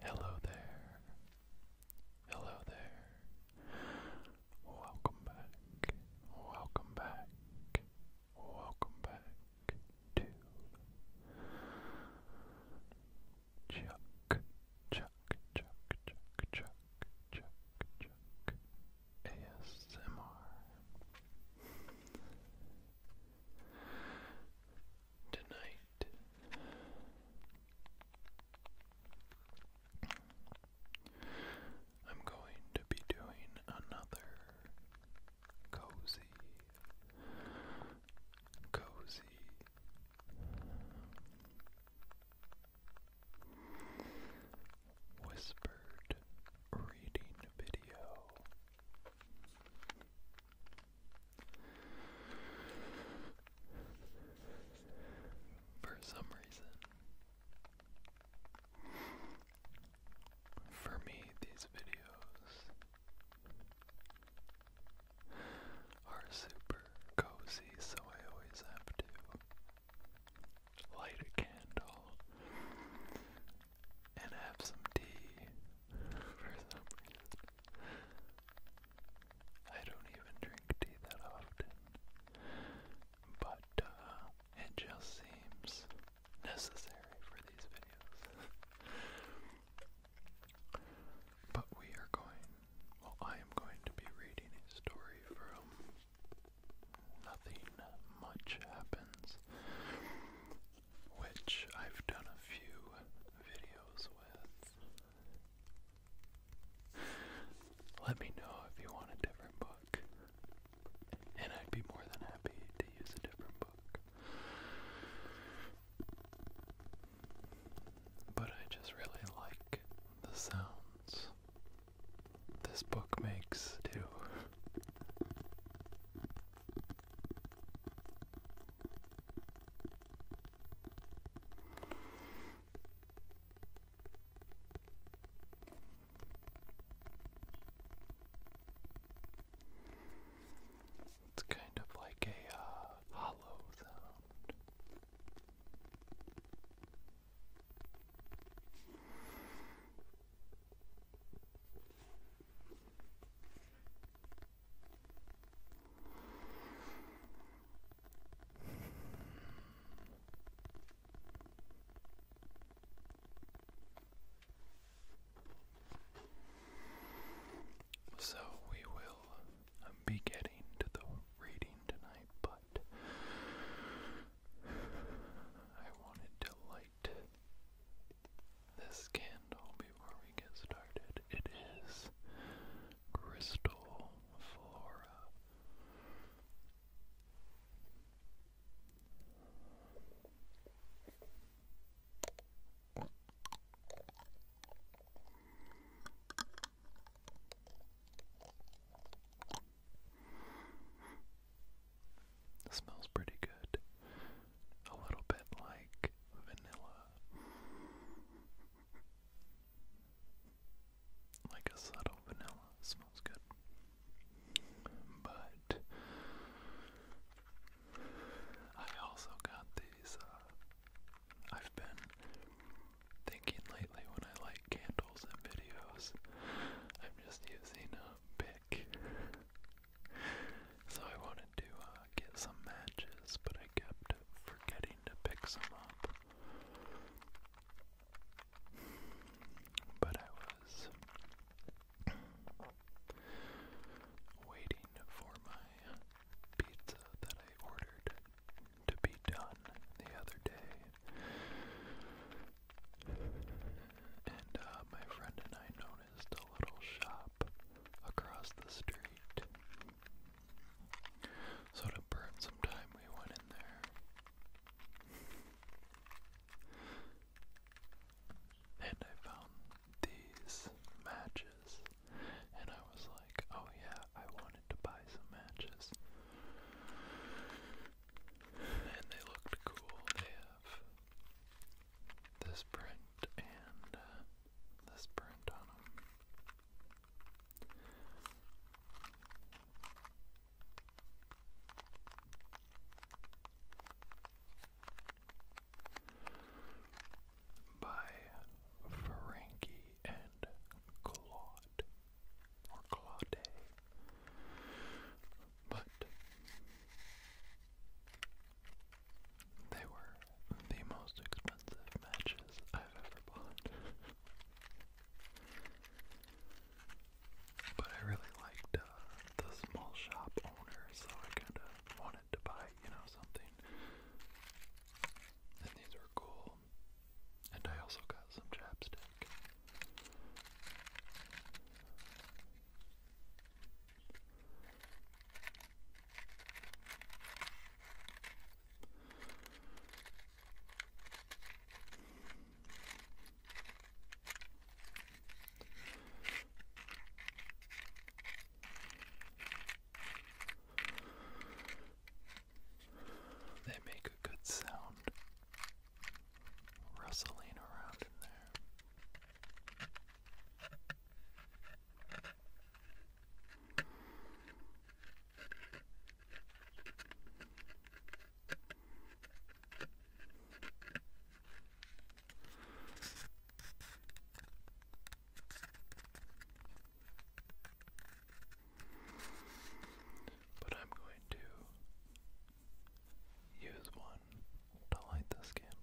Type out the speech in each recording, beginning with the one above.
Hello there. Hello there. Welcome back. Welcome back. Welcome back to Chuck, Chuck, Chuck, Chuck, Chuck, Chuck, Chuck, ASMR tonight. I'm going to be doing another cozy, cozy whispered reading video. For some reason, for me, these videos are super cozy, so I always have to light a candle and have some tea for some reason. I don't even drink tea that often, but uh, it just seems necessary for these videos. but we are going, well, I am going to be reading a story from Nothing Much Happens which I've done a few videos with. Let me know if you want a different book, and I'd be more than happy to use a different book. But I just really like the sounds this book makes, too. It's kind of like a uh, hollow sound. So we will um, be getting to the reading tonight, but I wanted to lighten light this candle before we get started. It is Crystal Flora. It smells pretty good. A little bit like vanilla. Like a subtle vanilla. smells good. But I also got these. Uh, I've been thinking lately when I like candles and videos, I'm just using a pick so I wanted to uh, get some matches, but I kept forgetting to pick some up. But I was waiting for my pizza that I ordered to be done the other day. And uh, my friend and I noticed noticed a little shop across the street. So to burn some time, we went in there. And I found these matches, and I was like, oh yeah, I wanted to buy some matches. And they looked cool this print and uh, this print on them. By Ferengi and Claude or Claude but they were the most expensive matches I've ever bought. but I really liked uh, the small shop owner, so I kind of wanted to buy, you know, something. And these were cool. And I also got some chapstick. They make a good sound rustling around in there. But I'm going to use one one to light this candle.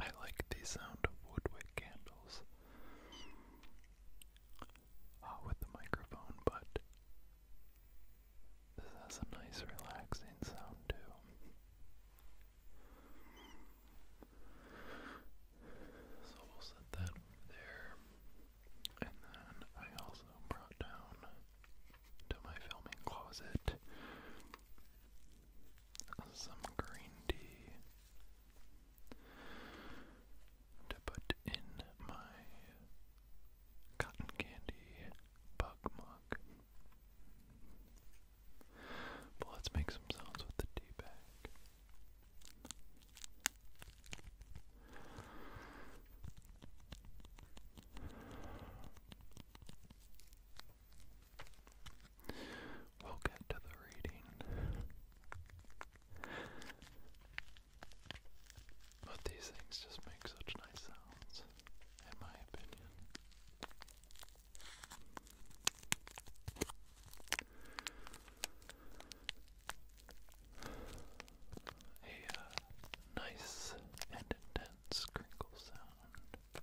I like the sound of woodwick candles uh, with the microphone, but this has a nice relaxing sound too. So we'll set that there. And then I also brought down to my filming closet some green tea to put in my cotton candy mug. But let's make some sounds with the tea bag. We'll get to the reading but these things just make such nice sounds, in my opinion. A uh, nice and intense crinkle sound.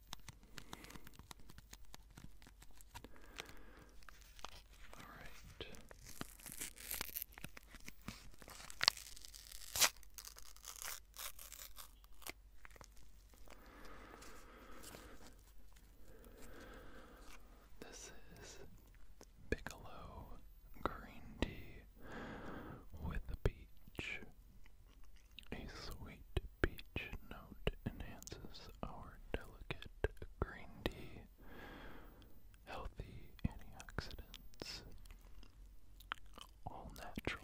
All right. This is Bigelow green tea with peach. A sweet peach note enhances our delicate green tea. Healthy antioxidants. All natural.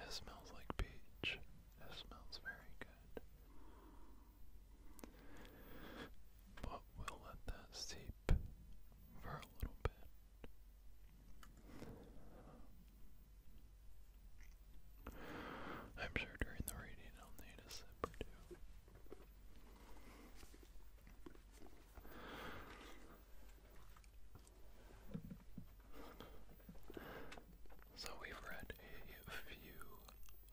It smells like peach. It smells very good. But we'll let that seep for a little bit. I'm sure during the reading I'll need a sip or two. So, we've read a few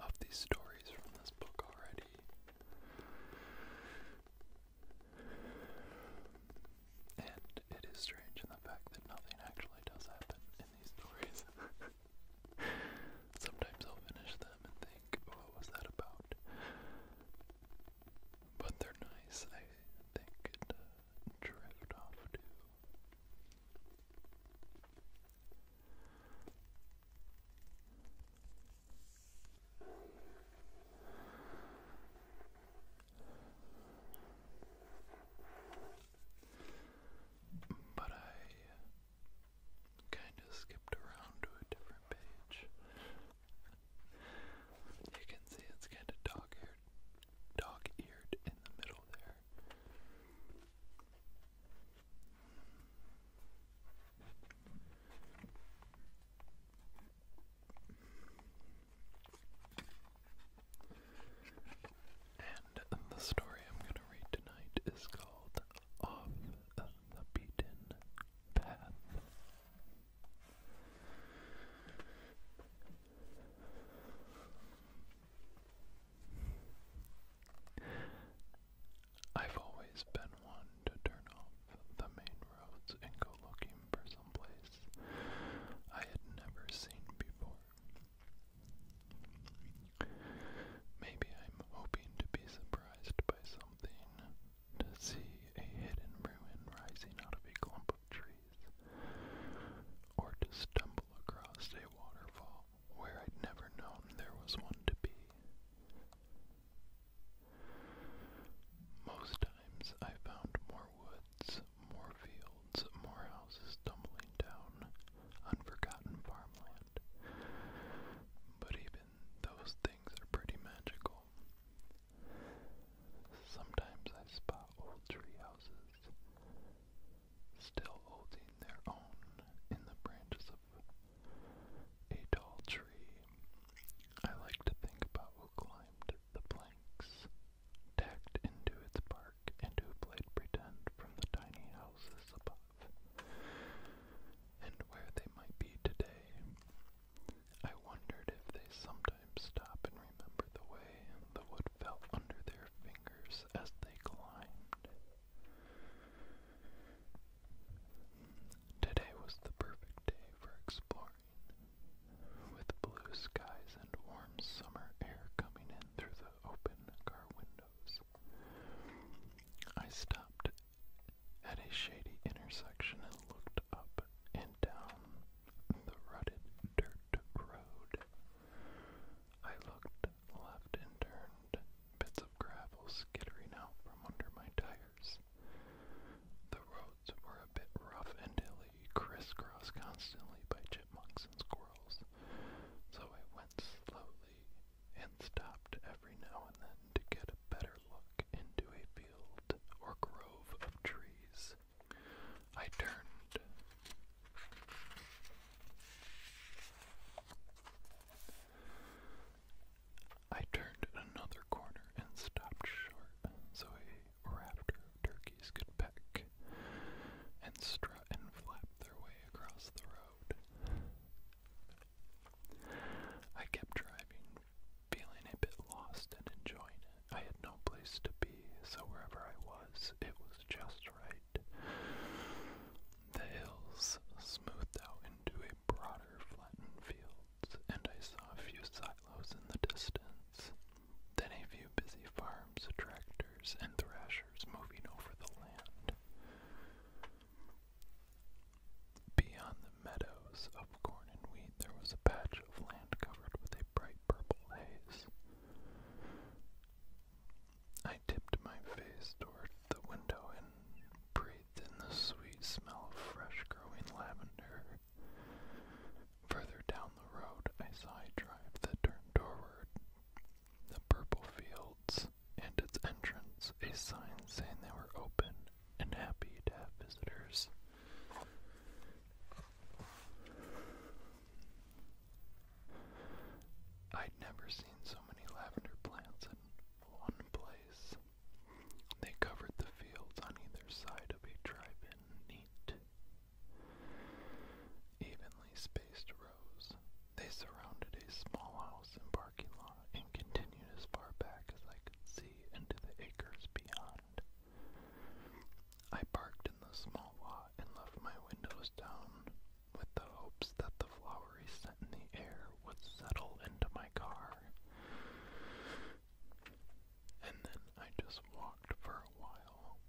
of these stories from this book already. And it is strange in the fact that nothing actually does happen in these stories. Sometimes I'll finish them and think, oh, what was that about? But they're nice, I think, and uh, off to. But I kind of skipped around to a different page. you can see it's kind of dog-eared, dog-eared in the middle there. And the story I'm going to read tonight is called off the beaten path. I've always been one to turn off the main roads and go looking for some place I had never seen before. Maybe I'm hoping to be surprised by something, to see a hidden ruin rising out of a clump of trees, or to stumble across a waterfall where I'd never known there was one to be. Most times I found more woods, more fields, more houses tumbling down, unforgotten farmland. But even those things are pretty magical. Sometimes I spot old tree still holding their own in the branches of a tall tree. I like to think about who climbed the planks, tacked into its bark, and who played pretend from the tiny houses above and where they might be today. I wondered if they sometimes stop and remember the way the wood fell under their fingers as they climbed. Today was the perfect day for exploring. With blue skies and warm summer air coming in through the open car window. I stopped at a shady intersection and looked up and down the rutted dirt road. I looked left and turned, bits of gravel skittering out from under my tires. The roads were a bit rough and hilly, crisscrossed constantly by chipmunks and squirrels, so I went slowly and stopped every now and then to get a better look into a field or grove of trees. I turned. I turned another corner and stopped short so a rafter of turkeys could peck and strut and flap their way across the road road. I kept driving, feeling a bit lost and enjoying it. I had no place to be, so wherever I was, it was just right. The hills smoothed out into a broader, flattened fields, and I saw a few silos in the distance. Then a few busy farms, tractors, and thrashers moving over the land. Beyond the meadows of corn and wheat, there was a patch of land covered with a bright purple haze. I tipped my face toward the window and breathed in the sweet smell of fresh growing lavender. Further down the road, I saw a drive that turned toward the purple fields and its entrance a sign saying they were open and happy to have visitors. I'd never seen so many lavender plants in one place. They covered the fields on either side of a drive neat, evenly spaced burrows. They surrounded a small house and parking lot and continued as far back as I could see into the acres beyond. I parked in the small lot and left my windows down with the hopes that the flowery scent in the air would settle into my car. And then I just walked for a while,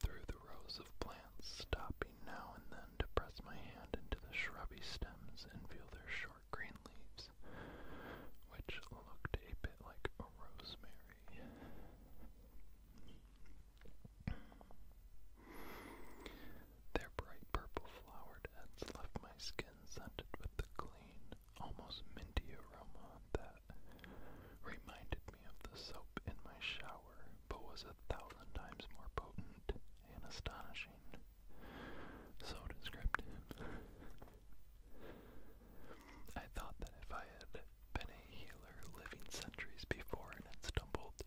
through the rows of plants, stopping now and then to press my hand into the shrubby stems and feel their short green leaves, which looked a bit like a rosemary. Their bright purple flowered heads left my skin scented with the clean, almost minty aroma that reminded me of the soap in my shower, but was a thousand times more potent and astonishing. So descriptive. I thought that if I had been a healer living centuries before and had stumbled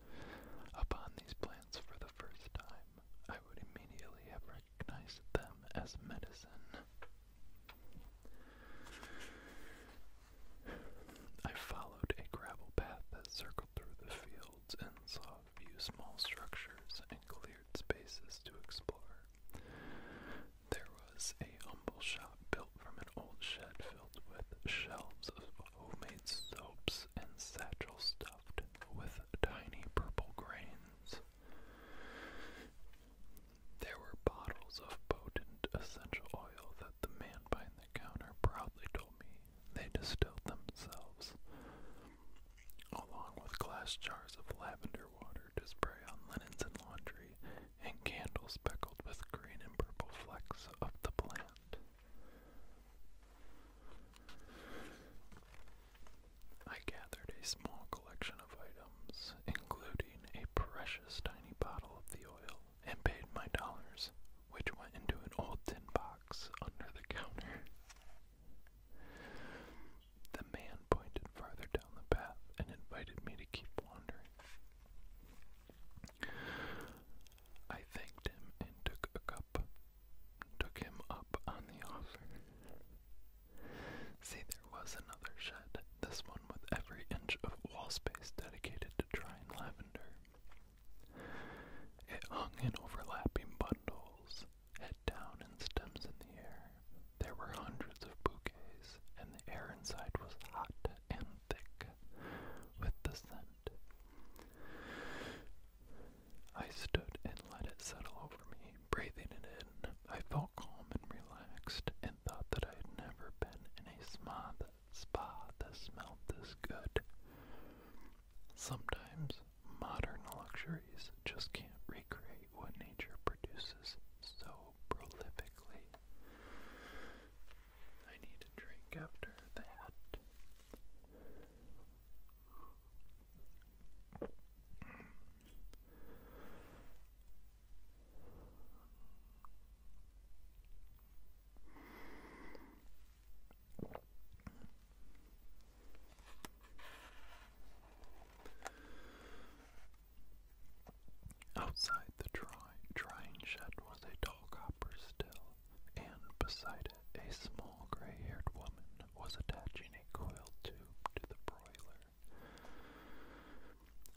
upon these plants for the first time, I would immediately have recognized them as medicine. I followed a gravel path that circled through the fields and saw a few small structures and cleared spaces to explore. There was a humble shop built from an old shed filled with shelves of homemade soaps and satchels stuffed with tiny purple grains. There were bottles of potent essential oil that the man behind the counter proudly told me they distilled themselves, along with glass jars of lavender water to spray on linens and laundry, and candles speckled with green and purple flecks of the plant. I gathered a small collection of items, including a precious tiny bottle of the oil and paid my dollars, which went into an old tin box under the counter. The man pointed farther down the path and invited me to keep wandering. I thanked him and took a cup, took him up on the offer. See, there was another shed. This one with every inch of wall space dedicated to trying lavender. It hung in overlapping bundles, head down and stems in the air. There were hundreds of bouquets, and the air inside was hot and thick with the scent. I stood and let it settle over me, breathing it in. I felt calm and relaxed, thought that I had never been in a spa spa that smelled this good. Sometimes modern luxuries just can't recreate what nature produces so prolifically. I need a drink after that. Outside the dry, drying shed was a tall copper still, and beside it, a small gray haired woman was attaching a coiled tube to the broiler.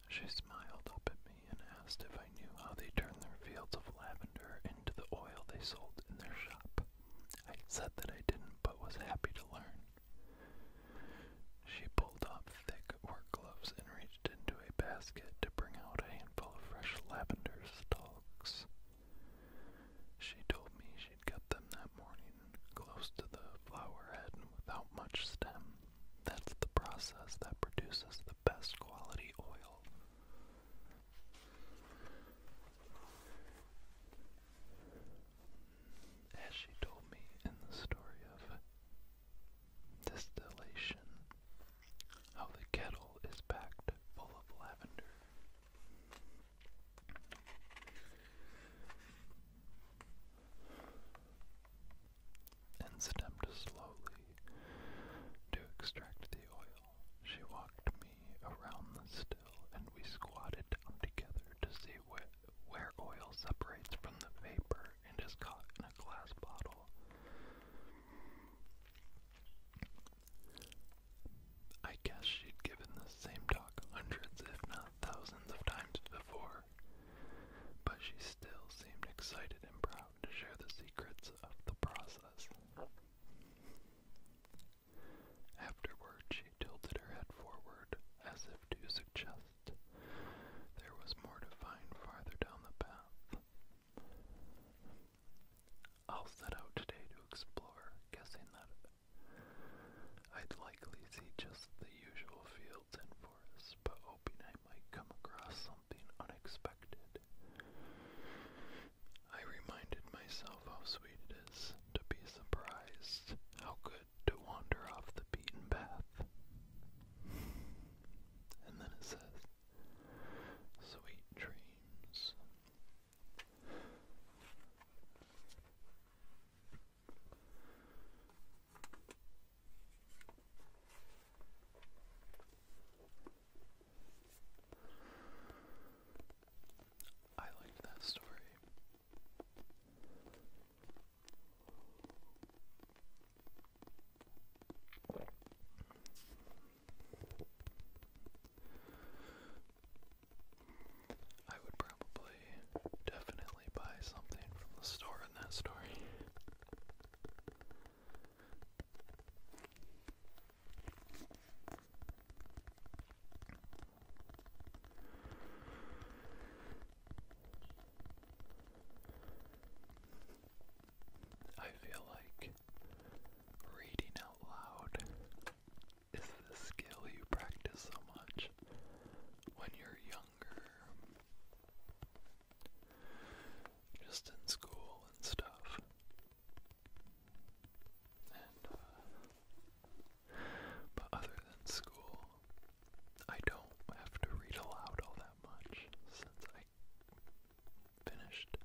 She smiled up at me and asked if I knew how they turn their fields of lavender into the oil they sold in their shop. I said that I didn't, but was happy to learn. She pulled off thick work gloves and reached into a basket to bring out a handful of fresh lavender stalks. She told me she'd got them that morning, close to the flower head and without much stem. That's the process that produces the best quality oil. As she told me in the story of distillation, how the kettle is packed full of lavender and stepped slowly to extract the oil. She walked me around the still, and we squatted down together to see where oil separates from the vapor and is caught in a glass bottle. I guess she'd given the same talk hundreds, if not thousands, of times before, but she still seemed excited and proud to share the secrets of the process. Afterward, she tilted her head forward as if to suggest there was more to find farther down the path. I'll set out today to explore, guessing that I'd likely see just the usual fields for us, but hoping I might come across something unexpected. I reminded myself how sweet it is to be surprised, how good to wander off the beaten path. And then it says, Sweet dreams. I liked that story. I would probably definitely buy something from the store in that story. I feel like reading out loud is the skill you practice so much when you're young. Just in school and stuff. And, uh, but other than school, I don't have to read aloud all that much since I finished.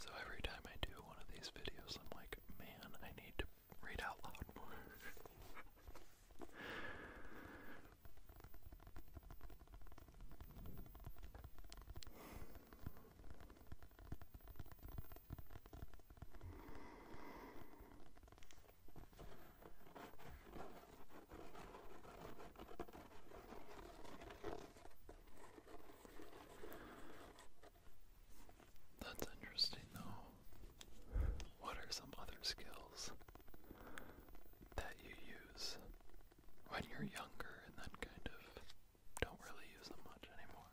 So every time I do one of these videos, I'm like, man, I need to read out loud more. That's interesting, though. What are some other skills that you use when you're younger and then kind of don't really use them much anymore?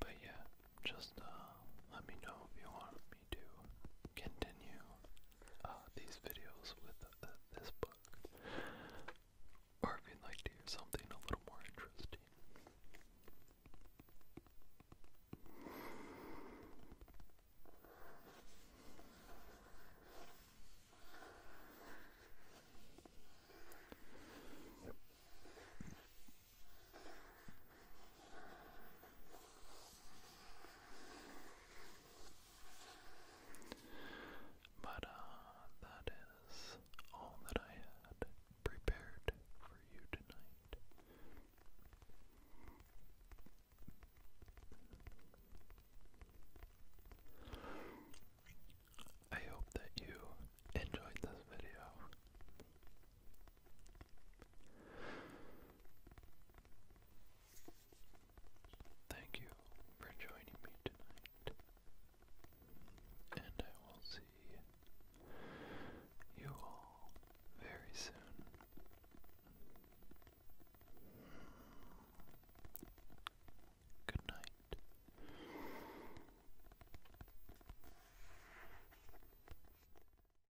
But yeah, just uh, let me know if you want me to continue uh, these videos with uh, this book, or if you'd like to hear something a little more interesting. But uh, that is all that I had prepared for you tonight. I hope that you enjoyed this video. Thank you for joining me tonight, and I will see you all very soon. Good night.